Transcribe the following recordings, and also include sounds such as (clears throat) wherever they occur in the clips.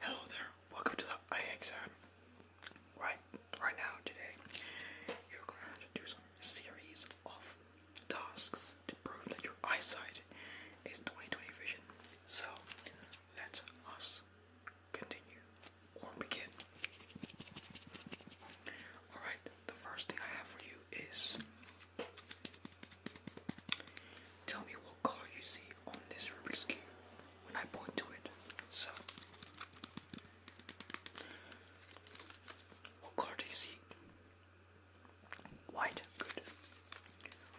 Hello there, welcome to the eye exam. Right, right now, today, you're going to do some series of tasks to prove that your eyesight is 20/20 vision. So, let us continue or begin. Alright, the first thing I have for you is Tell me what color you see on this Rubik's Cube when I point to it. So, what color do you see? White, good.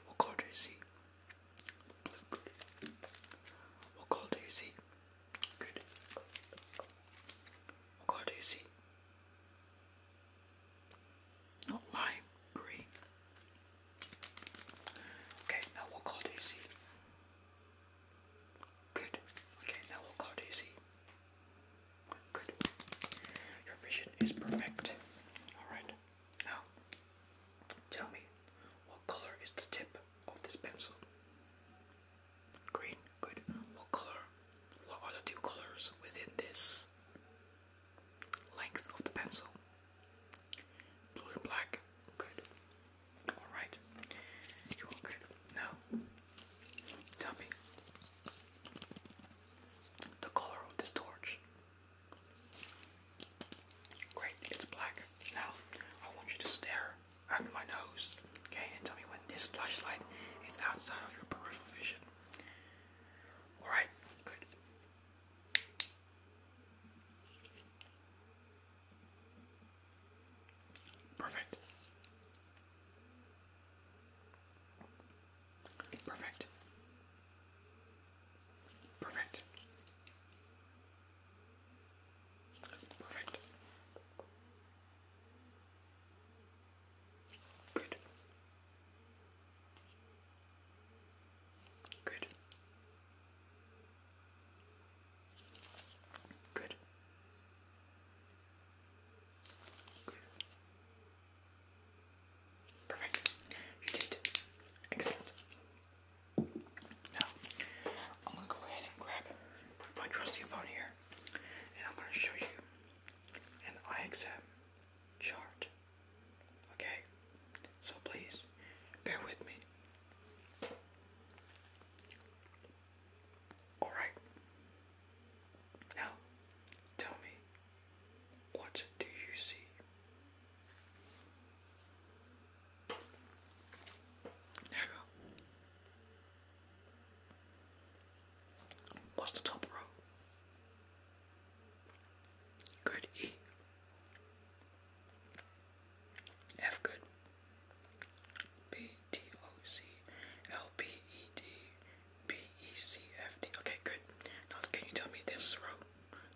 What color do you see? Blue, good. What color do you see? Good. What color do you see? Not lime, green. Okay, now what colour do you see? Good. Okay, now what colour do you see? Good. Your vision is perfect. Alright. Now, tell me, what colour is the tip of this pencil? Green. Good. What colour? What are the two colours within this length of the pencil. Blue and black, good. Alright, you all good. Now, tell me the color of this torch. Great, it's black. Now, I want you to stare at my nose, okay, and tell me when this flashlight is outside of your peripheral vision. All right, good. Perfect. Perfect. Perfect. Perfect. Good. Good. Good. Good. Perfect. You did. Excellent. Now, I'm gonna go ahead and grab my trusty phone here, and I'm gonna show you and eye exam chart. Okay? So please, bear with me. Alright. Now, tell me, what do you see? There you go. What's the top row? Good E. F good. B T O C L P E D B E C F D. Okay, good. can you tell me this row?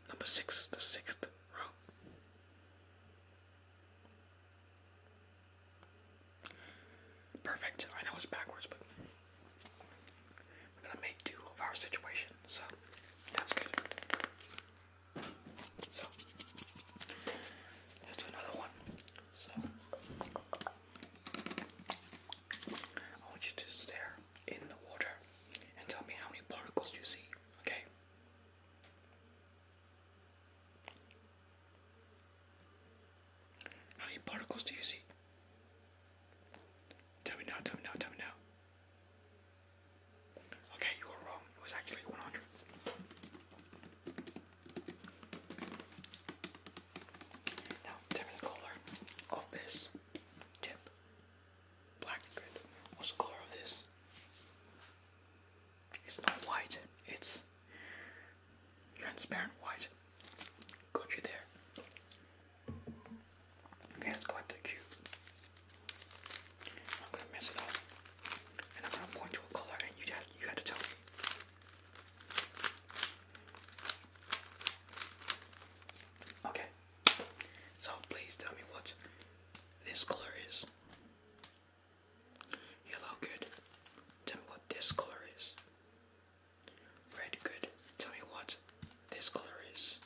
Number six, the sixth row. Perfect. I know it's backwards, but we're gonna make do of our situation, so that's good. So let's do another one. So I want you to stare in the water and tell me how many particles you see, okay? How many particles do you see? Tell me now, tell me now, tell me now. Okay, you were wrong. It was actually 100. Now, tell me the color of this tip. Black, good. What's the color of this? It's not white, it's transparent white. Got you there. Okay, let's go at the cube. I'm gonna mess it up. And I'm gonna point to a color and you have, you have to tell me. Okay. So please tell me what this color is. Yellow, good. Tell me what this color is. Red, good. Tell me what this color is.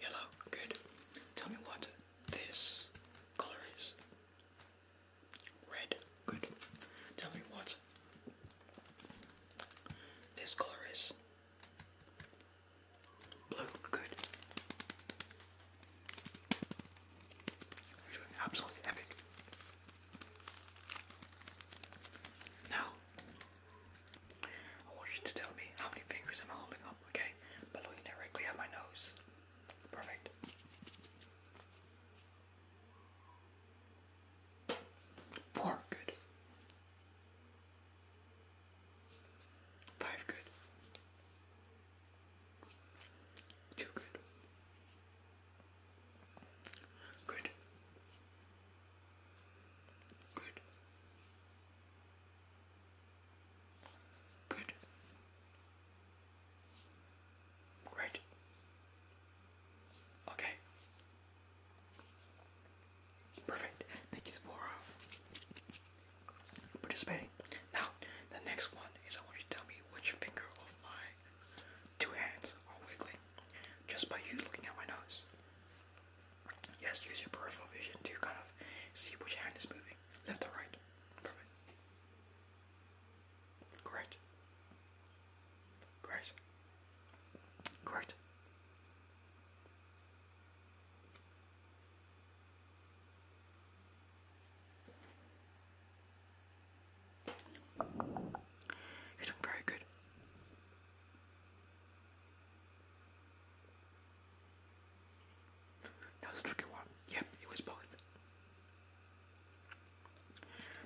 Yellow, good. Tell me what this color is. Red, good. Tell me what this color is. Blue, good. absolutely epic. Now, I want you to tell me how many fingers I'm holding up, okay? looking directly at my nose. Perfect. Four, good. Five good. Two good. Good. Good. Good. Great. Okay. Perfect. Thank you for uh, participating. Now, the next one is I want you to tell me which finger of my two hands are wiggling just by you looking at my nose. Yes, use your peripheral vision to kind of see which hand is moving, left or right. Perfect. Great. Great. Great. You're doing very good. That was tricky one. Yep, it was both.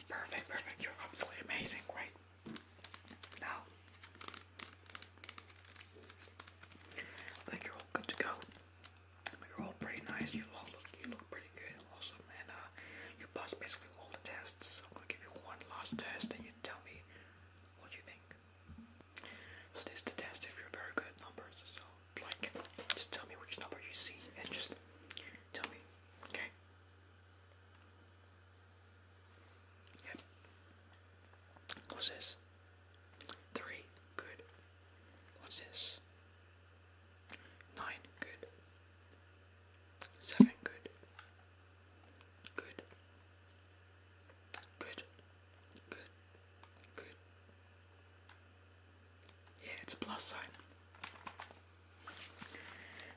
Perfect, perfect. You're absolutely amazing, right? Now, I think you're all good to go. You're all pretty nice. You all look, you look pretty good and awesome, and uh, you passed basically all the tests. I'm gonna give you one last test, and you tell me what you think. So this is the test if you're very good at numbers. So like, just tell me which number you see, and just tell me, okay? Yep. What's this? Three. Good. What's this? Nine. Good. Seven. Good. Good. Good. Good. Good. Yeah, it's a plus sign.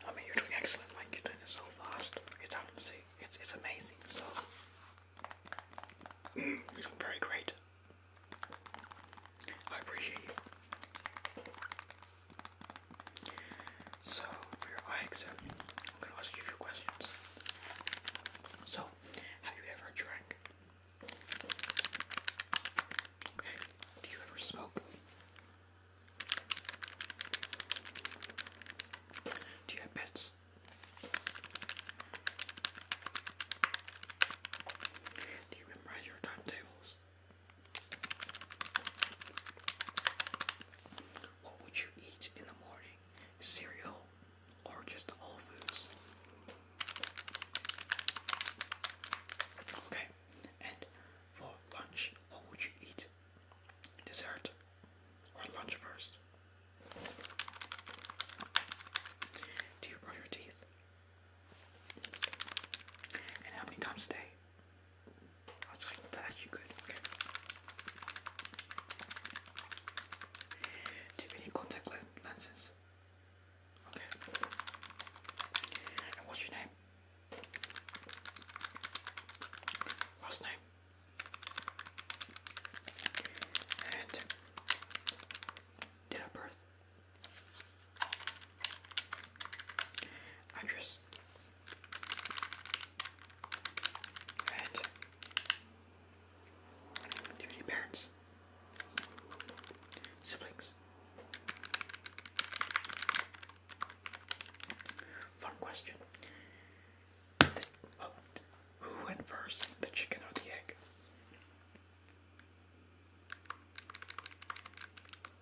I mean, you're doing excellent. Like you're doing it so fast. It's honestly, it's it's amazing. So (clears throat) you're very great. I appreciate you. So for your eye exam, I'm gonna ask you a few questions. So, have you ever drank? Okay. Do you ever smoke? Do you have pets? Do you memorize your timetables? What would you eat in the morning? Cereal or just all foods? Okay, and for lunch? What would you eat? Dessert or lunch first? Do you brush your teeth? And how many times a day? I'll take that actually good. Okay. Do you have contact lenses? what's your name? Last name. And date of birth. Address. And do you have parents? Siblings. Fun question. Oh, who went first, the chicken or the egg?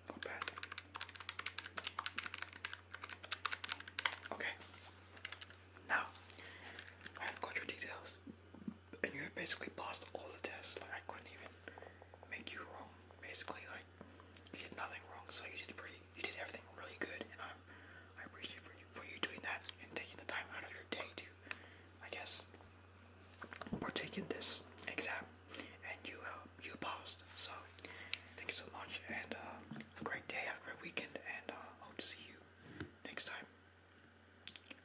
Not bad. Okay. Now, I have got your details and you basically passed all the tests. Like I couldn't even make you wrong. Basically, like you did nothing wrong. So you did pretty. You did everything really good, and I'm I appreciate for you for you doing that and taking the time out of your day to, I guess, partake in this exam. And you uh, you passed. So thank you so much, and uh, have a great day, have a great weekend, and I uh, hope to see you next time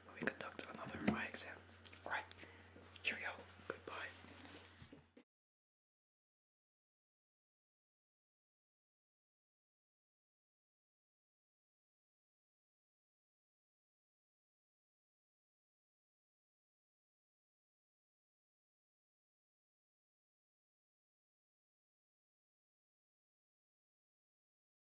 when we conduct another eye exam. Alright, cheerio, goodbye.